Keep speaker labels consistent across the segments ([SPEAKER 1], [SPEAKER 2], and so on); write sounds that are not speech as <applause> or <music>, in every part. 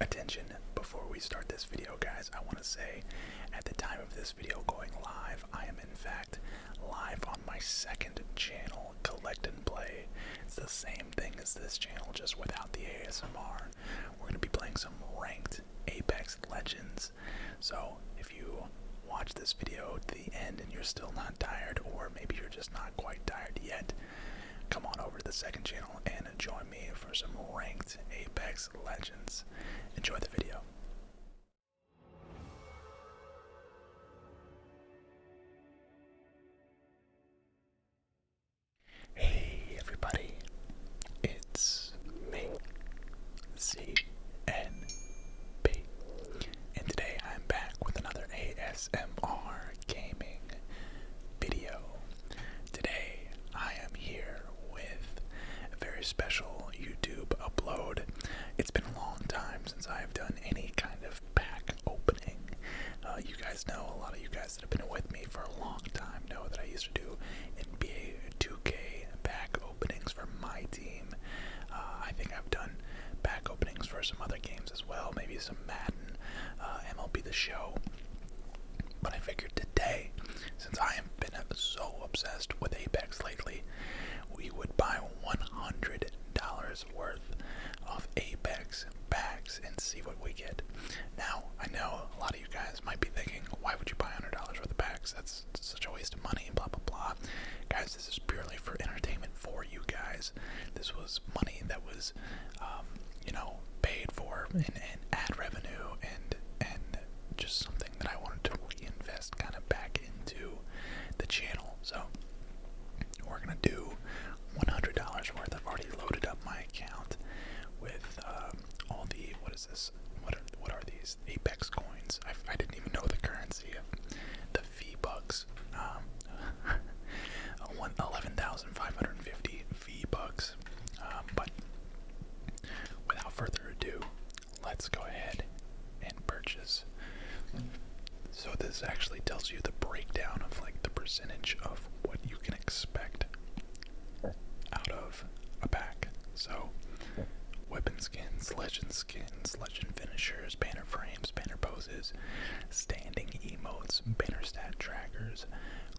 [SPEAKER 1] Attention, before we start this video, guys, I want to say at the time of this video going live, I am in fact live on my second channel, Collect and Play. It's the same thing as this channel, just without the ASMR. We're going to be playing some ranked Apex Legends. So if you watch this video to the end and you're still not tired, or maybe you're just not quite tired yet, Come on over to the second channel and join me for some ranked Apex Legends. Enjoy the video. Hey everybody, it's me, ZNB, and today I'm back with another ASMR gaming video. Today I am here with a very special YouTube upload. It's been a long time since I have done any kind of pack opening. Uh, you guys know, a lot of you guys that have been with me for a long time know that I used to do NBA 2K pack openings for my team. Uh, I think I've done pack openings for some other games as well, maybe some Madden, uh, MLB The Show. But I figured today, since I have been so obsessed with Apex lately, we would buy $100 worth of Apex bags and see what we get. Now, I know a lot of you guys might be thinking, why would you buy $100 worth of bags? That's such a waste of money, blah, blah, blah. Guys, this is purely for entertainment for you guys. This was money that was um, you know, paid for in, ad revenue and and just something that I wanted to reinvest kind of back into the channel. So we're gonna do $100 worth. I've already loaded up my account with um, all the what is this? What are what are these Apex coins? I, I didn't even know the currency of the fee bucks. Um, <laughs> 11,550 V-Bucks. Um, but without further ado, let's go ahead and purchase. So this actually tells you the breakdown of like the percentage of what you can expect out of a pack. So weapon skins, legend skins, legend finishers, banner frames, banner poses, standing emotes, banner stat trackers,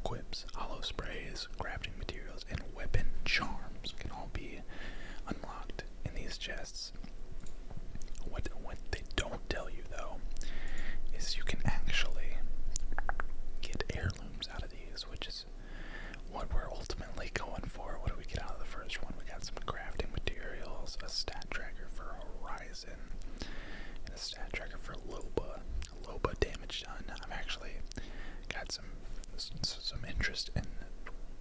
[SPEAKER 1] Quips, hollow sprays, crafting materials, and weapon charms can all be unlocked in these chests. What what they don't tell you though is you can actually get heirlooms out of these, which is what we're ultimately going for. What do we get out of the first one? We got some crafting materials, a stat tracker for Horizon, and a stat tracker for Loba low but damage done. I've actually got some some interest in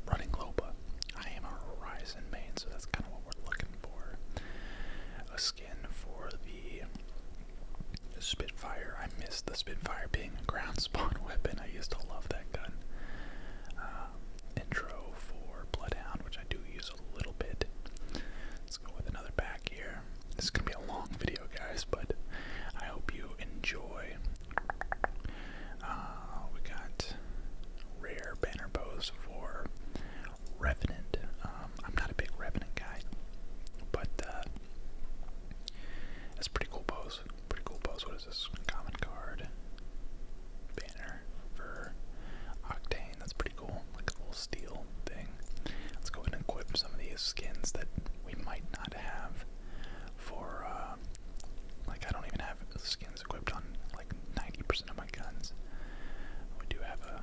[SPEAKER 1] running Loba. I am a Horizon main, so that's kind of what we're looking for. A skin for the Spitfire. I miss the Spitfire being a ground spawn <laughs> weapon. I used to love that gun. Um, intro for Bloodhound, which I do use a little bit. Let's go with another pack here. This is gonna be a long video, guys, but I hope you enjoy. Uh, we got rare banner bows for Revenant. Um, I'm not a big Revenant guy, but uh, that's pretty cool pose. Pretty cool pose. What is this? Common card banner for Octane. That's pretty cool like a little steel thing. Let's go and equip some of these skins that we might not have for, uh, like, I don't even have skins equipped on like 90% of my guns. We do have a,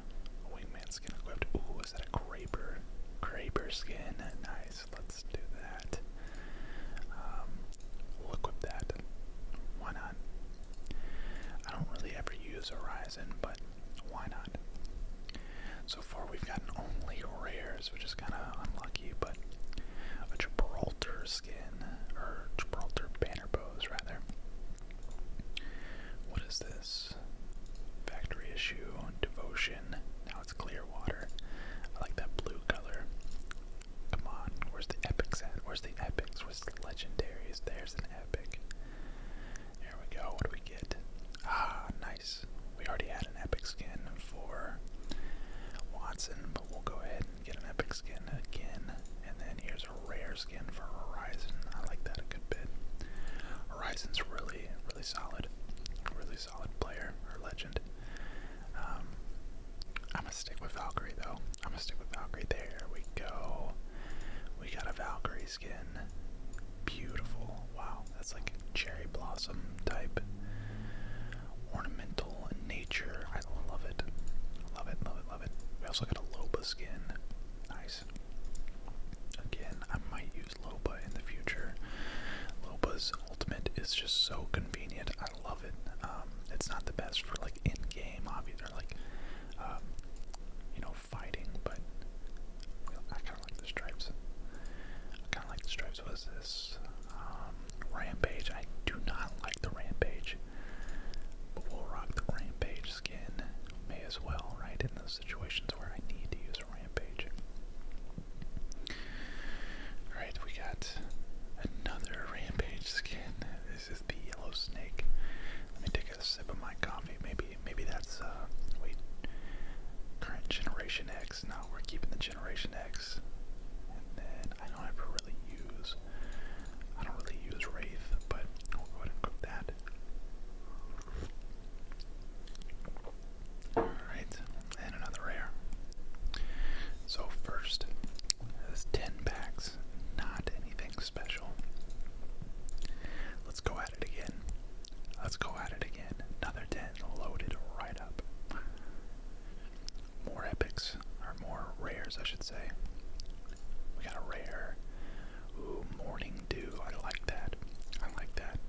[SPEAKER 1] wingman skin equipped. Ooh, is that a Kraber? Kraber skin. Nice. Let's do that. Um, we equip that. Why not? I don't really ever use Horizon, but why not? So far, we've gotten only rares, which is kind of unlucky, but a Gibraltar skin, or Gibraltar banner pose, rather. What is this? Factory issue, devotion. Now it's clear water. I like that blue color. Come on, where's the epics at? Where's the epics? Where's the legendaries? There's an epic. There we go. What do we get? Ah, nice. We already had an epic skin for Watson, but we'll go ahead and get an epic skin again. And then here's a rare skin for Horizon. I like that a good bit. Horizon's really, really solid. Really solid player or legend. Um, I'm gonna stick with Valkyrie though. I'm gonna stick with Valkyrie. There we go. We got a Valkyrie skin. Beautiful. Wow, that's like cherry blossom type. Ornamental nature. I love it. Love it, love it, love it. We also got a Loba skin. Nice. Again, I might use Loba in the future. Loba's ultimate is just so convenient. I love it. Um, it's not the best for like in game, obviously, like, um, you know, fighting, but I kind of like the stripes. I kind of like the stripes. Was this um, rampage? I do not like the rampage, but we'll rock the rampage skin. May as well, right? In those situations where I need to use a rampage. All right, we got another rampage skin. This is the yellow snake. Let me take a sip of my coffee. Maybe maybe that's uh, wait current generation X. No, we're keeping the generation X. And then I don't ever really use I don't really use Wraith, but we'll go ahead and cook that. Alright, and another rare. So first is ten packs, not anything special. Let's go at it again. Let's go at it again. Another 10 loaded right up. More epics, or more rares, I should say. We got a rare. Ooh, Morning Dew. I like that. I like that.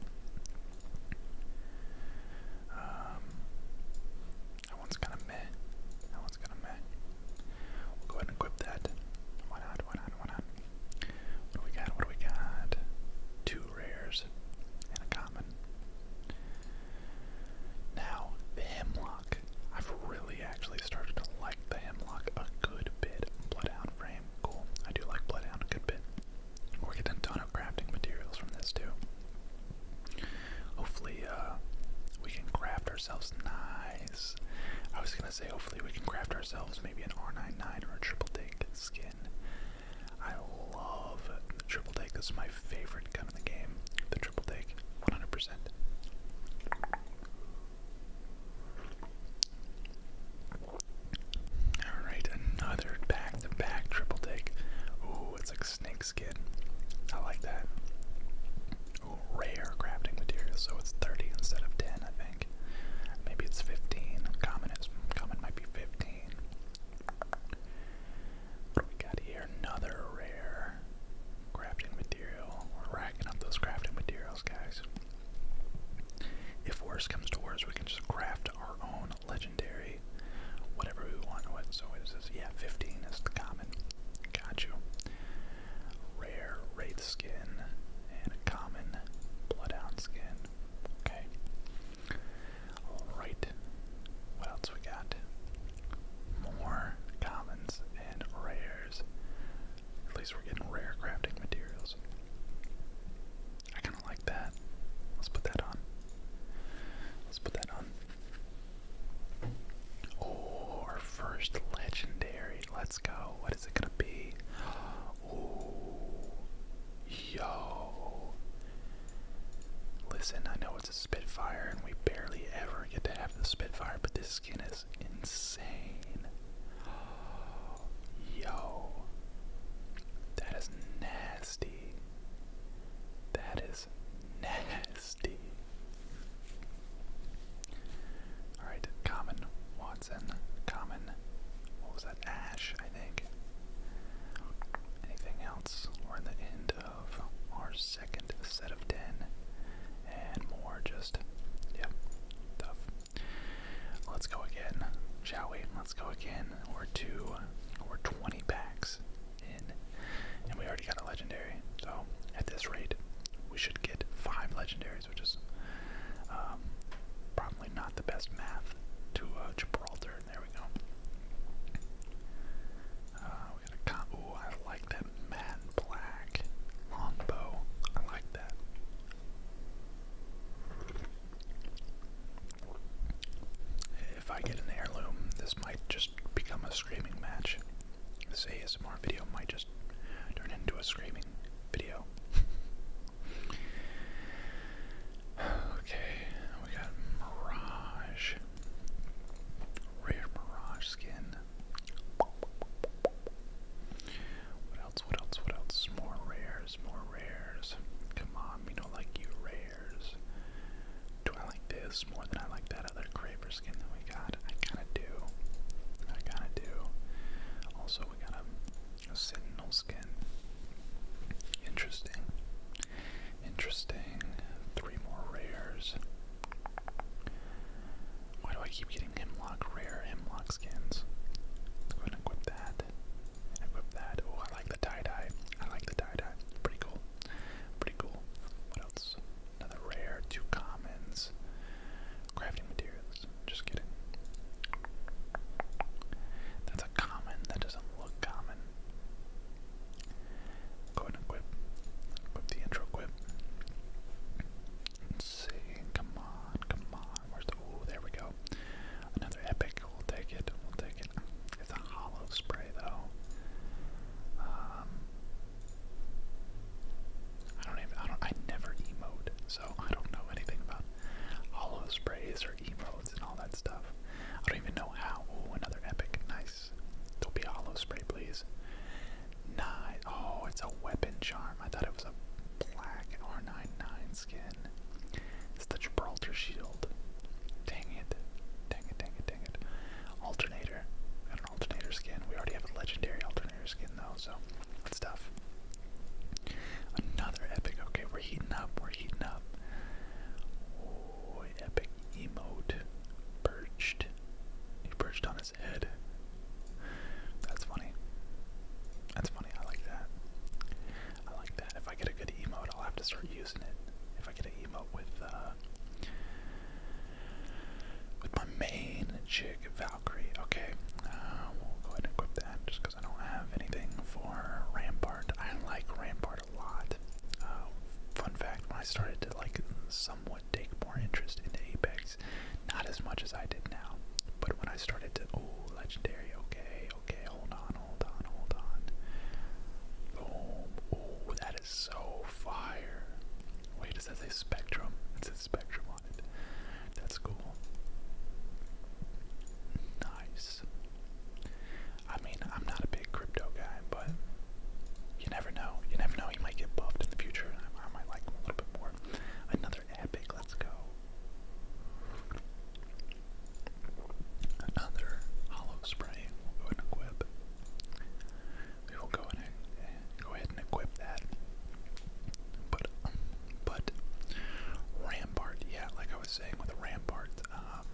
[SPEAKER 1] Um, that one's kind of meh. That one's kind of meh. We'll go ahead and equip that. Why not? Why not? Why not? What do we got? What do we got? Two rares and a common. Now, the hemlock. I've really actually started to like the hemlock a good bit. Bloodhound frame, cool. I do like bloodhound a good bit. We're getting a ton of crafting materials from this too. Hopefully, uh, we can craft ourselves nice. I was I say hopefully we can craft ourselves maybe an R99 or a triple take skin. I love the triple take. This my favorite gun in the game. The triple take, 100%. Alright, another back to back triple take. Ooh, it's like snake skin. I like that. Ooh, rare crafting material, so it's 30 instead of 10, I think maybe it's 15. Common is common might be 15. What do we got here? Another rare crafting material. We're racking up those crafting materials, guys. If worse comes to worse, we can just craft our own legendary, whatever we want. What so it says, yeah, 15 is the common. Got you rare wraith skin, and a common bloodhound skin. Okay. Alright. What else we got? More commons and rares. At least we're getting rare crafting materials. I kind of like that. Let's put that on. Let's put that on. Oh, our first legendary let's go. What is it gonna be? yo. Listen, I know it's a Spitfire, and we barely ever get to have the Spitfire, but this skin is insane. <gasps> yo. That is nasty. That is nasty. Alright, Common Watson. Common. What was that? Ash, I think. Anything else? We're in the end of our second set of 10. And more just, yep, tough. Let's go again, shall we? Let's go again. We're two, we're 20 packs in. And we already got a legendary. So at this rate, we should get five legendaries, which is um, probably not the best math to uh, Gibraltar. There we go. Uh, ooh, I like that matte black longbow. I like that. If I get an heirloom, this might just become a screaming match. This ASMR video might just just turn into a screaming video. okay, we got Mirage. Rare Mirage skin. What else? What else? What else? More rares, more rares. Come on, we don't like you rares. Do I like this more than I like that other Craver skin that we got? kind do. I kind of do. Also, we got a, sentinel skin. Interesting. Interesting. Three more rares. Why do I keep getting hemlock rare hemlock skins? go ahead equip that. equip that. Oh, I like the tie dye. I like the tie dye. Pretty cool. Pretty cool. What else? Another rare. Two commons. Crafting materials. Just kidding. That's a common. That doesn't look common. Go ahead and equip. Equip the intro quip. Let's see. Come on, come on. Where's the. Oh, there we go. Another epic. We'll take it. We'll take it. It's a hollow spray, though. Um, I don't even. I don't. I never emote, so I don't know anything about hollow sprays or emotes and all that stuff. I don't even know how. Ooh, another epic. Nice. Don't be a hollow spray, please. Nice. Oh, it's a weapon charm. I thought it was a black R99 skin. It's the Gibraltar shield. Dang it. Dang it, dang it, dang it. Alternator. We got an alternator skin. We already have a legendary alternator skin, though, so stuff. Another epic. Okay, we're heating up. We're heating up. epic emote. Perched. He perched on his head. That's funny. That's funny. I like that. I like that. If I get a good emote, I'll have to start using it. If I get an emote with uh, with my main chick, Valkyrie. Okay, uh, we'll go ahead and equip that just because I don't have anything for Rampart. I like Rampart a lot. Uh, fun fact: when I started to like somewhat take more interest into Apex, not as much as I did now, but when I started to oh, legendary. Okay, okay, hold on, hold on, hold on. Boom! Oh, that is so fire. Wait, does that say Spectrum? It says Spectrum that's cool. Nice. I mean, I'm not a big crypto guy, but you never know. You never know. You might get buffed in the future. I, might like him a little bit more. Another epic. Let's go. Another hollow spray. We'll go and equip. We will go in Go ahead and equip that. But, but Rampart, yeah, like I was saying with Rampart, um,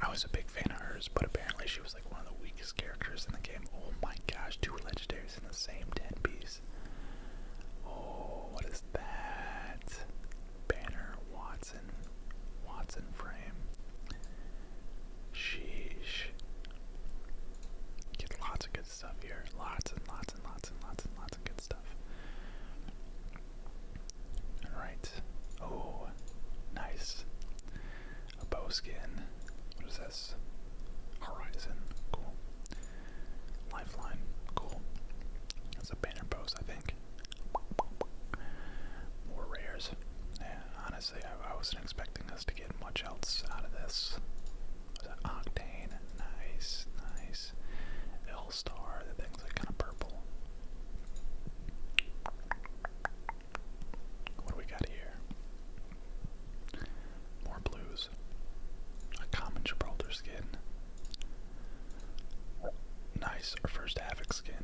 [SPEAKER 1] I was a big fan of hers, but apparently she was like one of the weakest characters in the game. Oh my gosh, two legendaries in the same 10 piece. Oh, what is that? Banner Watson, Watson frame. Sheesh. Get lots of good stuff here. Lots and lots and lots and lots and lots of good stuff. Alright. Oh, nice. A bow skin. What is this? Horizon. Cool. Lifeline. Cool. That's a banner post, I think. More rares. Yeah, honestly, I, wasn't expecting this to get much else out of this. Octane, nice, nice. L star, the thing's like kind of purple. What do we got here? More blues. A common Gibraltar skin. Nice, our first Havoc skin.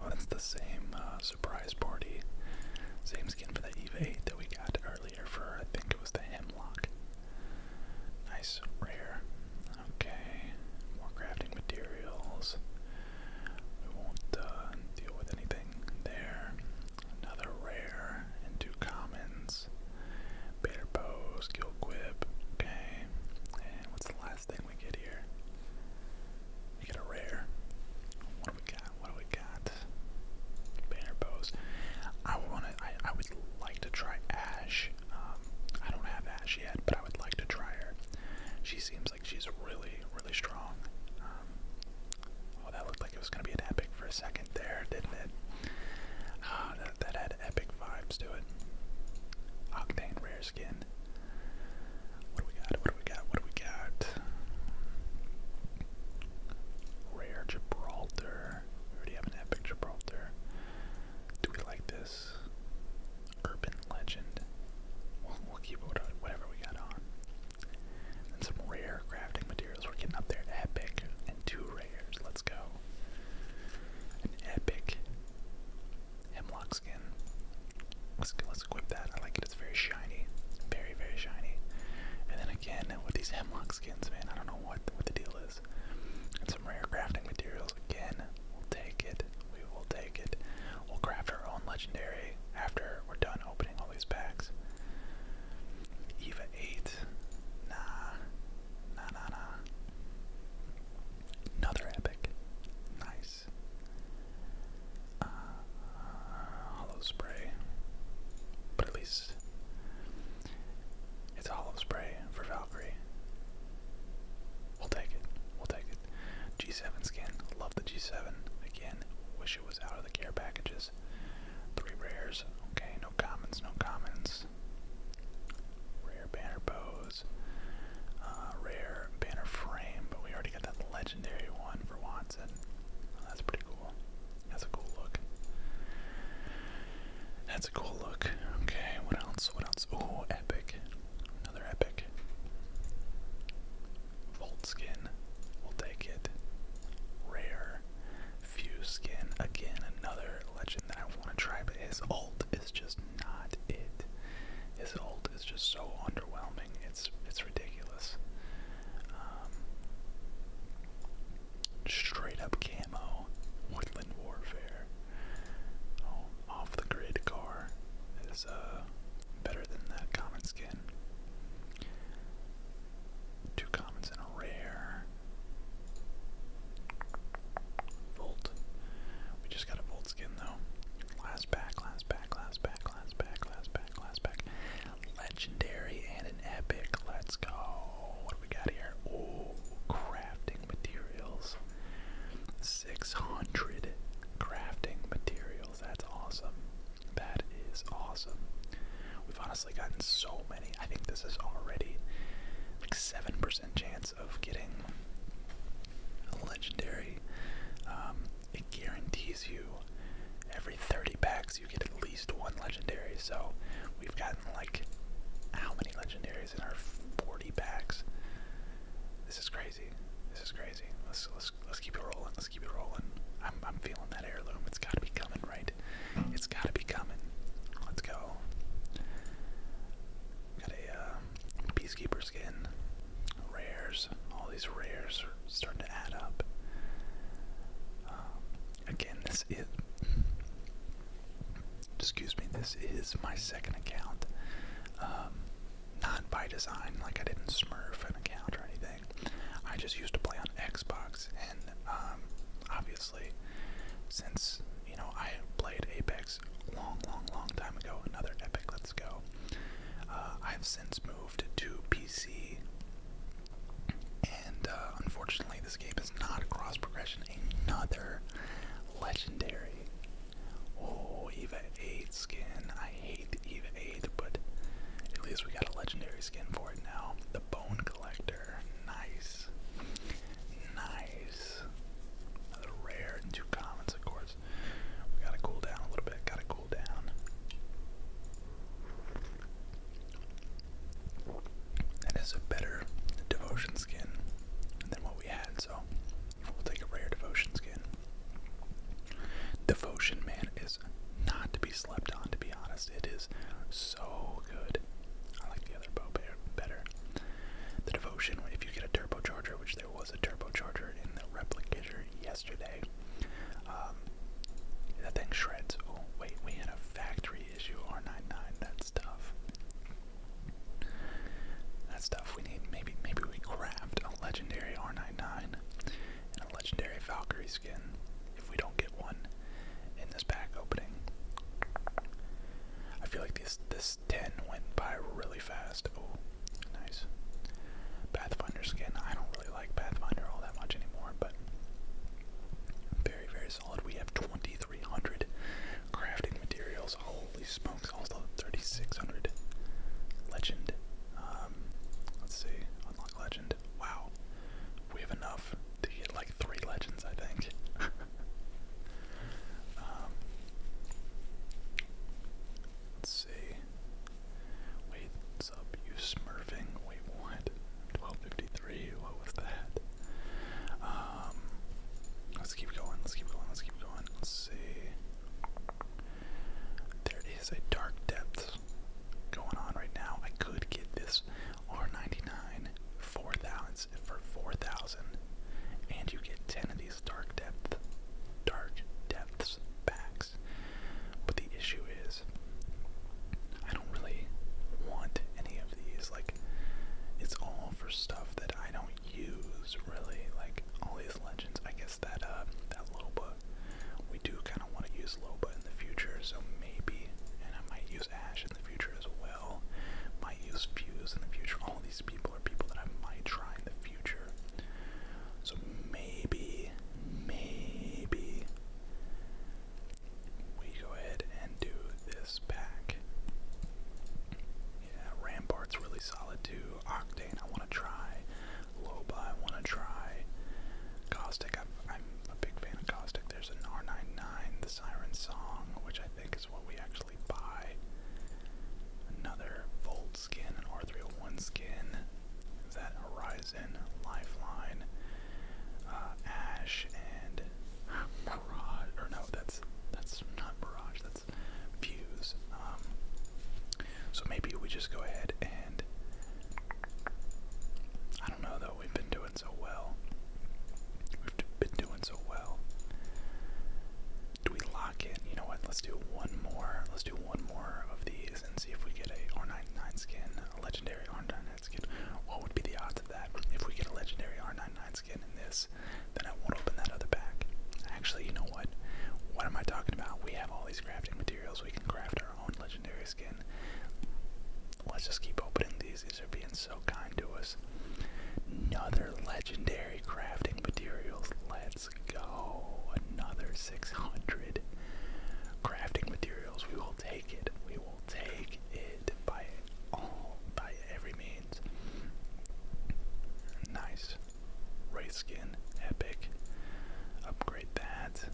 [SPEAKER 1] Oh, that's the same uh, surprise party. Same skin for the Eve that we got earlier for, I think it was the Hemlock. Nice, rare. Okay, more crafting materials. We won't uh, deal with anything there. Another rare and two commons. Better bow, skill quip. Okay, and what's the last thing we get here? We get a rare. What do we got? What do we got? Banner bows. I wanna. I, I would like to try Ash. Um, I don't have Ash yet, but I would like to try her. She seems like she's really, really strong. Um, oh, that looked like it was gonna be an epic for a second there, didn't it? Ah, that had epic vibes to it. Octane rare skin. What do we got? What do we got? What do we got? Rare Gibraltar. already have an epic Gibraltar. Do we like this? Urban legend. We'll, keep whatever we got on. And some rare crafting materials. We're getting up there. Epic and two rares. Let's go. An epic. Hemlock Let's let's equip that. I like it. It's very shiny, very very shiny. And then again with these hemlock skins, man, I don't know what what the deal is. And some rare crafting materials again. We'll take it. We will take it. We'll craft our own legendary after we're done opening all these packs. Eva eight. Nah. Nah nah nah. Another epic. Nice. Uh, hollow spray, but at least it's a hollow spray for Valkyrie. We'll take it. We'll take it. G7 skin. Love the G7. Again, wish it was out of the care packages. Three rares. Okay, no commons, no commons. Rare banner pose. Uh, rare banner frame, but we already got that legendary one for Watson. Oh, that's pretty cool. That's a cool look. That's a cool look. Okay, what else? What else? Oh, epic. Another epic. Volt skin. We'll take it. Rare. Fuse skin. Again, another legend that I want to try, but his ult is just not it. His ult it's just so underwhelming. It's it's ridiculous. Um, straight up camo, woodland warfare. Oh, off the grid car is uh, better than that common skin. Two commons and a rare. Volt. We just got a volt skin though. Last pack, last pack, last pack, class pack, class pack, class pack. Legendary and an epic. Let's go. What do we got here? Oh, crafting materials. 600 crafting materials. That's awesome. That is awesome. We've honestly gotten so many. I think this is already like 7% chance of getting legendary. Um, it guarantees you every 30 packs you get at least one legendary. So we've gotten like how many legendaries in our 40 packs? This is crazy. This is crazy. Let's let's let's keep it rolling. Let's keep it rolling. I'm I'm feeling that heirloom. It's gotta be coming, right? It's gotta be coming. Let's go. Got a um, peacekeeper skin rares. All these rares are starting to add up. Um, again, this is. Excuse me, this is my second account. Um, not by design, like I didn't smurf an account or anything. I just used to play on Xbox, and um, obviously, since you know I played Apex long, long, long time ago, another epic Let's months uh, I've since moved to PC, and uh, unfortunately, this game is not a cross progression. Another legendary. Oh, Eva 8 skin. I hate Eva 8, but at least we got a legendary skin for it now. The Bone Collector. Nice. Nice. Another rare and two commons, of course we gotta cool down a little bit. Gotta cool down. That is a better devotion skin than what we had, so we'll take a rare devotion skin. Devotion man is not to be slept on, to be honest. It is so good. I like the other bow better. The devotion, if you get a turbo charger, which there was a turbo charger in the replicator, yes, yesterday. Um, that thing shreds. Oh, wait, we had a factory issue R99. That's tough. That's stuff. We need maybe maybe we craft a legendary R99 and a legendary Valkyrie skin if we don't get one in this pack opening. I feel like this this 10 went by really fast. Oh, Nice. Pathfinder skin. I don't really like Pathfinder all that much anymore, but very, very solid. We have 2,300 crafting materials. Holy smokes. Also 3,600 legend. Um, let's see. Unlock legend. Wow. We have enough to get like three legends, I think. <laughs> Um, see. Wait, what's up, you smurfing? Wait, what? 1253, what was that? Um, let's keep going, let's keep going, let's keep going. Let's see. There is a dark depth going on right now. I could get this R99 4000 for 4000 and you get 10 of these dark depth dark depths back. But the issue is, I don't really want any of these. Like, it's all for stuff that I don't use really. Like all these legends. I guess that uh, that Loba, we do kind of want to use Loba in the future. So maybe, and I might use Ash in the future as well. Might use Fuse in the future. All these people are people that I might try in the future. So maybe, maybe we go ahead and do this pack. Yeah, Rampart's really solid too. Octane, I want to try. Loba, I want to try. Caustic, I'm, I'm a big fan of Caustic. There's an R99, the Siren Song, which I think is what we actually buy. Another Volt skin, an R301 skin. that Horizon, Lifeline, uh, Ash, and Mirage? Or no, that's that's not Mirage. That's Fuse. Um, so maybe we just go ahead and I don't know though. We've been doing so well. We've been doing so well. Do we lock it? You know what? Let's do one more. Let's do one more of these and see if we get a R99 skin, a legendary R99 skin. What would be the odds of that? If we get a legendary R99 skin in this, then I won't open that other pack. Actually, you know what? What am I talking about? We have all these crafting materials. We can craft our own legendary skin. Let's just keep opening these. These are being so kind to us. Another legendary crafting materials. Let's Let's go. Another 600 crafting materials. We will take it. We will take it by all, by every means. Nice. Race skin. Epic. Upgrade that.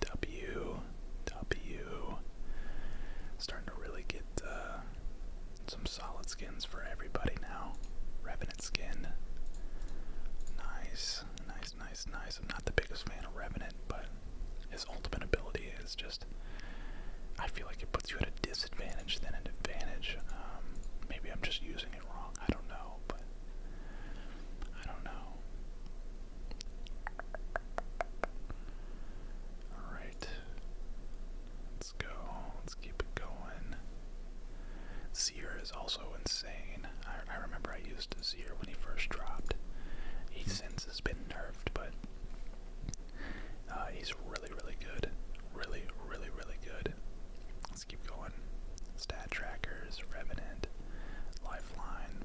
[SPEAKER 1] W. W. Starting to really get uh, some solid skin for everybody now. Revenant skin. Nice, nice, nice, nice. I'm not the biggest fan of Revenant, but his ultimate ability is just. I feel like it puts you at a disadvantage than an advantage. Um, maybe I'm just using it wrong. I don't know, but. I don't know. Alright. Let's go. Let's keep it going. Seer is also insane. I, remember I used Seer when he first dropped. He hmm. since has been nerfed, but uh, he's really, really good. Really, really, really good. Let's keep going. Stat trackers, Revenant, Lifeline.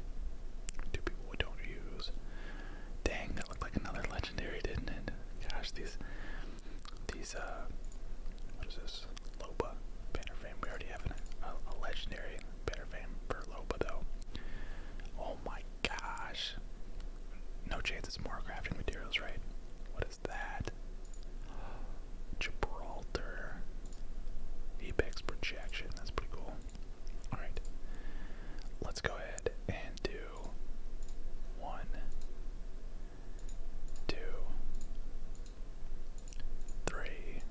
[SPEAKER 1] Two people we don't use. Dang, that looked like another legendary, didn't it? Gosh, these these uh what is this? Loba banner fame. We already have a, legendary banner fame for Loba though. Oh my gosh. No chance it's more crafting materials, right? What is that? <gasps> Gibraltar. Apex projection. That's pretty cool. Alright. Let's go ahead and do one, two, three,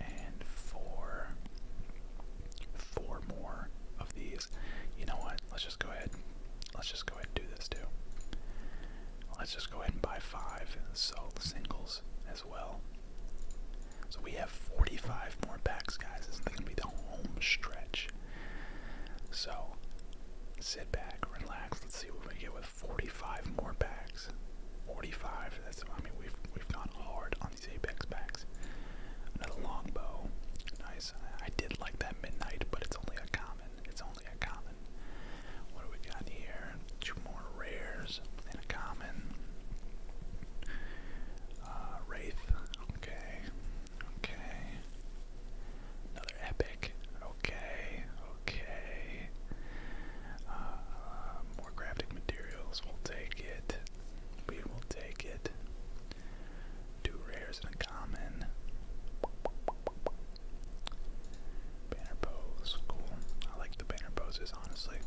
[SPEAKER 1] and four. Four more of these. You know what? Let's just go ahead. Let's just go ahead and do this too. Let's just go ahead and buy five. and So singles as well. So we have 45 more packs, guys. This is going to be the home stretch. So sit back, relax, Let's see what we get with 45 more packs. 45. That's I mean we've we've gone hard on these Apex packs. Another longbow. Nice. I did like that midnight, but it's only a common. It's only a common. What do we got here? Two more rares and a common. Uh, Wraith. Okay. Okay. Another epic. Okay, okay. Uh, more crafting materials. We'll take it. We will take it. Two rares and a common. Banner pose, cool. I like the banner poses, honestly.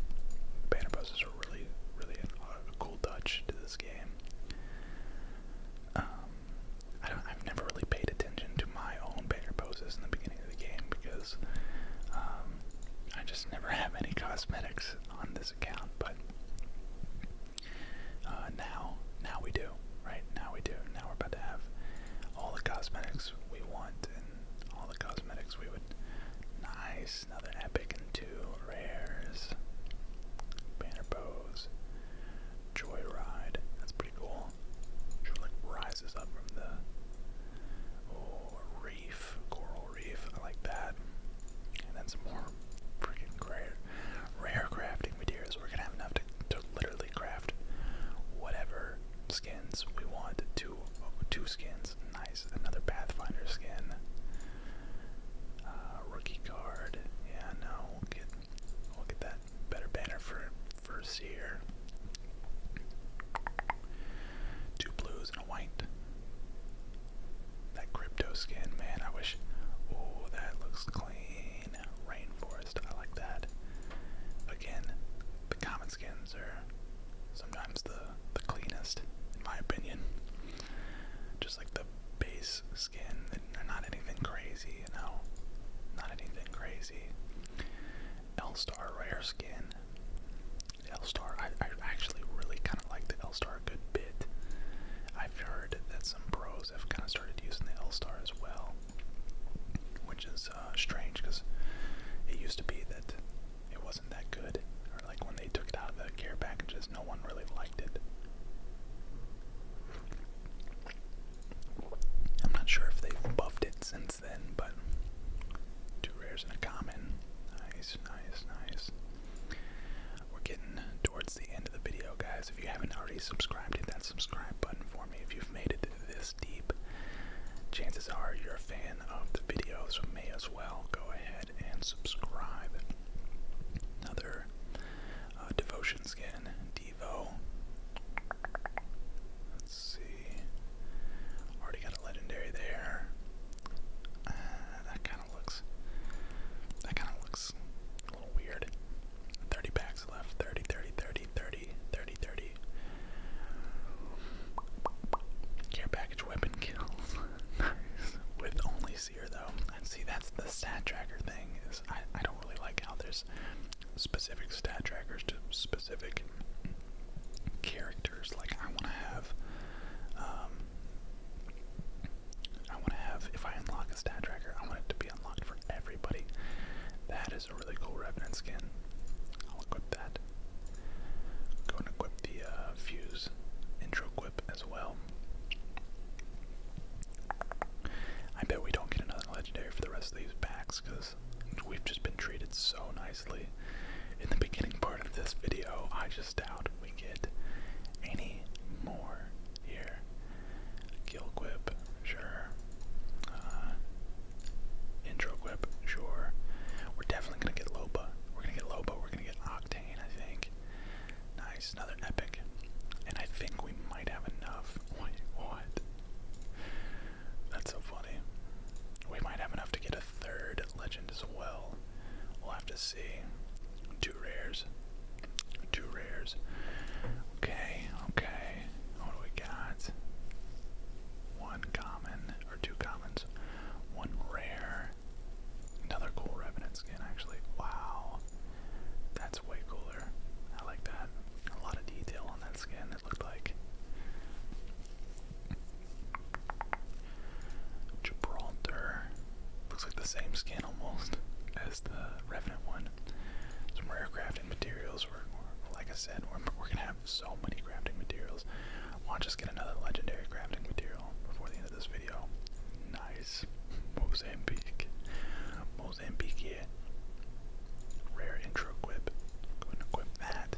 [SPEAKER 1] Banner poses are really, really a cool touch to this game. Um, I don't, I've never really paid attention to my own banner poses in the beginning of the game because um, I just never have any cosmetics on this account. But uh, now, now we do, right? Now we do. Now we're about to have all the cosmetics we want and all the cosmetics we would. Nice, another epic and two rares. Banner pose. Joyride. That's pretty cool like rises up from the oh, reef, coral reef. like that. And then some more freaking rare, rare crafting materials. We're gonna have enough to, to literally craft whatever skins we want. Two, oh, two skins. Nice. Another Pathfinder skin. Uh, rookie card. Yeah, no, we'll get, we'll get that that. Better banner for first here. Two blues and a white. That crypto skin, man, I wish. Oh, that looks clean. Rainforest, I like that. Again, the common skins are sometimes the the cleanest, in my opinion. Just like the base skin. not anything crazy, you know. Not anything crazy. L-Star rare skin. L-Star, I, actually really kind of like the L-Star a good bit. I've heard that some pros have kind of started using the L-Star as well, which is uh, strange because it used to be that it wasn't that good, or like when they took it out of the care packages, no one really liked it. I'm not sure if they've buffed it since then, but two rares and a common. Nice, nice, nice. We're getting towards the end of the video, guys. If you haven't already subscribed, hit that subscribe button for me. If you've made it this deep, chances are you're a fan of the video, may as well go ahead and subscribe. Another uh, devotion skin, Let's see. Already got a legendary there. Uh, that kind of looks. That kind of looks a little weird. 30 packs left. 30, Care package weapon kills. <laughs> With only seer though. see, that's the stat tracker thing. Is I I don't really like how there's specific stat trackers to specific characters. Like I want to have, um, I want to have. If I unlock a stat tracker, I want it to be unlocked for everybody. That is a really cool Revenant skin. I'll equip that. Go and equip the uh, fuse intro equip as well. I bet we don't get another legendary for the rest of these packs because we've just been treated so nicely. In the beginning part of this video, I just doubt we get any more here. Kill sure. Uh, sure. We're definitely gonna get Loba. We're gonna get Loba. We're gonna get Octane, I think another epic. And I think we might have enough. what? That's so funny. We might have enough to get a third legend as well. We'll have to see. Two rares. Two rares. Okay, okay. What do we got? One common, or two commons. One rare. Another cool Revenant skin, actually. Wow. That's that's way cooler. I like that. A lot of detail on that skin, it looked like. Gibraltar. Looks like the same skin almost as the Revenant one. Some rare crafting materials. Were, like I said, we're, we're going to have so many crafting materials. Why don't just get another legendary crafting material before the end of this video? Nice. <laughs> Mozambique. Mozambique. Rare intro quip. Going to equip that.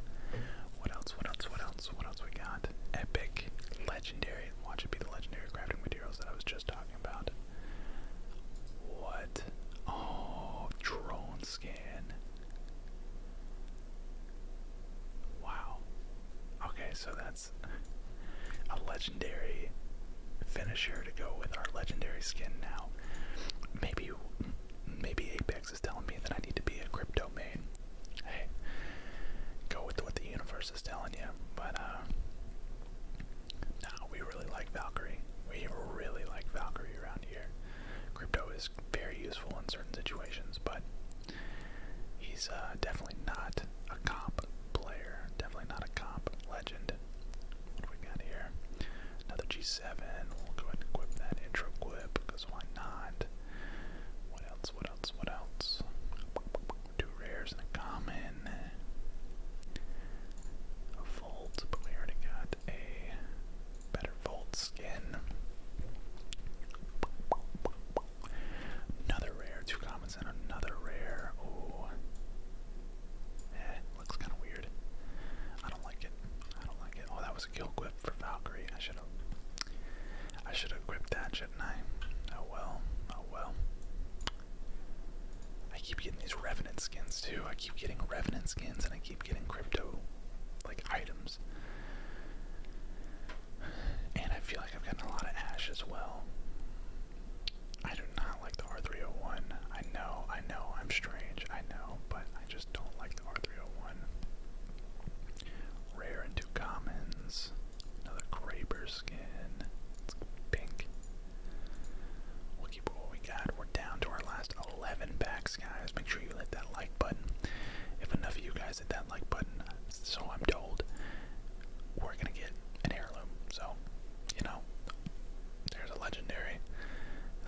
[SPEAKER 1] What else? What else? What else? What else we got? Epic, legendary. Watch it be the legendary crafting materials that I was just talking about. What? Oh, drone scan. Wow. Okay, so that's a legendary finisher to go with our legendary skin now. Maybe maybe Apex is telling me that I need to be a crypto main. Hey, go with what the universe is telling you. But uh, no, we really like Valkyrie. We really like Valkyrie around here. Crypto is very useful in certain situations, but he's uh, definitely not a comp player. Definitely not a comp legend. What do we got here? Another G7. We'll go ahead and equip that intro quip, because why not? What else? What else? What else? Two rares and a common. A volt, but we already got a better volt skin. Another rare, two commons, and another rare. Ooh. Eh. Looks kind of weird. I don't like it. I don't like it. Oh, that was a kill quip for Valkyrie. I should have. I should have gripped that, shit, not I? Oh well. Oh well. I keep getting these revenant skins too. I keep getting revenant skins, and I keep getting crypto, like items. And I feel like I've gotten a lot of ash as well. I do not like the R301. I know, I know, I'm strange, I know, but I just don't like the R301. Rare and two commons. Another Graber skin. It's pink. We'll keep what we got. We're down to our last 11 packs, guys. Make sure you hit that like button. If enough of you guys hit that like button, so I'm told, we're gonna get an heirloom. So you know, there's a legendary.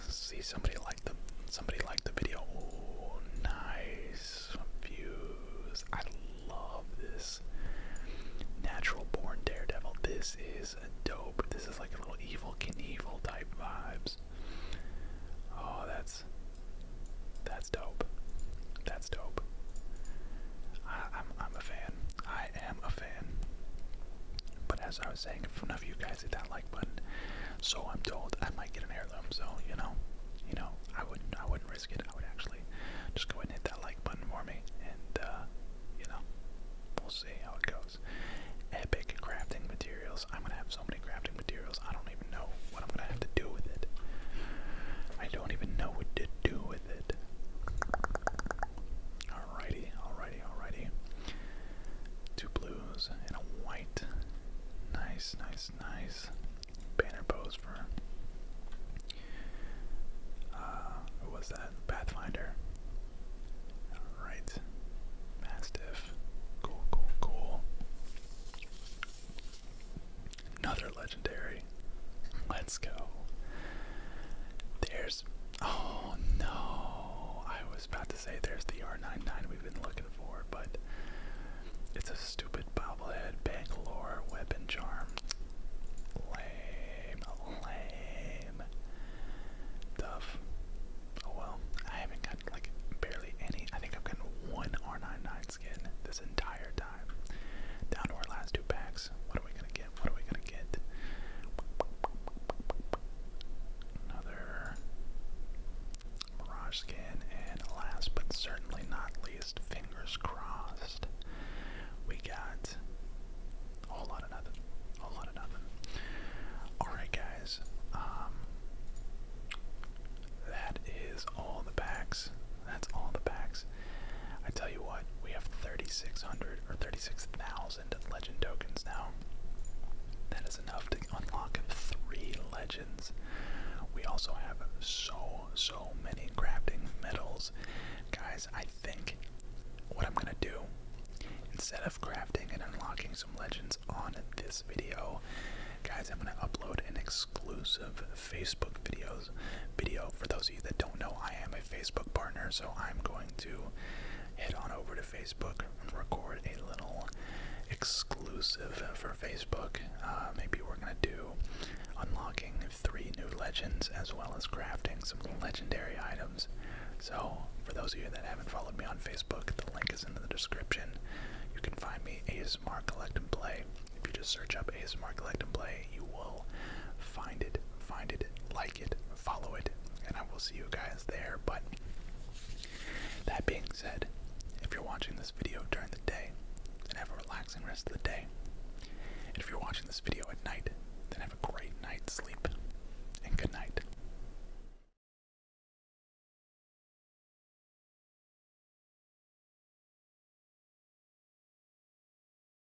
[SPEAKER 1] See somebody like the somebody like the video. Oh, nice views. I love this. Natural born daredevil. This is dope. This is like a little evil Knievel type vibes. Oh, that's that's dope. That's dope. I'm I'm a fan. I am a but as I was saying, if enough of you guys hit that like button, so I'm told, I might get an heirloom. So you know, you know, I wouldn't, I wouldn't risk it. I would actually just go and hit that like button for me, and uh, you know, we'll see how it goes. Epic crafting materials. I'm gonna have so many crafting materials. I don't even know what I'm gonna have to do with it. I don't even know what to do with it. Alrighty, alrighty, alrighty. Two blues and a white. Nice, nice, nice. Banner pose for uh, who was that? Pathfinder. Alright. Mastiff. Cool, cool, cool. Another legendary. Let's go. There Oh no! I was about to say there's the R99 we've been looking for, but it's a stupid bobblehead Bangalore weapon charm. Lame, lame. Tough. Oh well, I haven't gotten like barely any. I think I've gotten one R99 skin this entire time. Down to our last two packs. What are we gonna get? What are we gonna get? Another Mirage skin, and last but certainly not least, fingers crossed, we got a whole lot of nothing. A whole lot of nothing. Alright, guys. Um, that is all the packs. That's all the packs. I tell you what, we have 3,600 or 36,000 legend tokens now. That is enough to unlock three legends. We also have so, so many crafting medals, Guys, I think what I'm going to do, instead of crafting and unlocking some legends on this video, guys, I'm going to upload an exclusive Facebook video video. For those of you that don't know, I am a Facebook partner, so I'm going to head on over to Facebook and record a little exclusive for Facebook. Uh, maybe we're gonna do unlocking three new legends as well as crafting some legendary items. So, for those of you that haven't followed me on Facebook, the link is in the description. You can find me ASMR Collect and Play. If you just search up ASMR Collect and Play, you will find it, find it, like follow it, and I will see you guys there. But that being said, if you're watching this video during the day, then have a relaxing rest of the day. And if you're watching this video at night, then have a great night's sleep, and good night.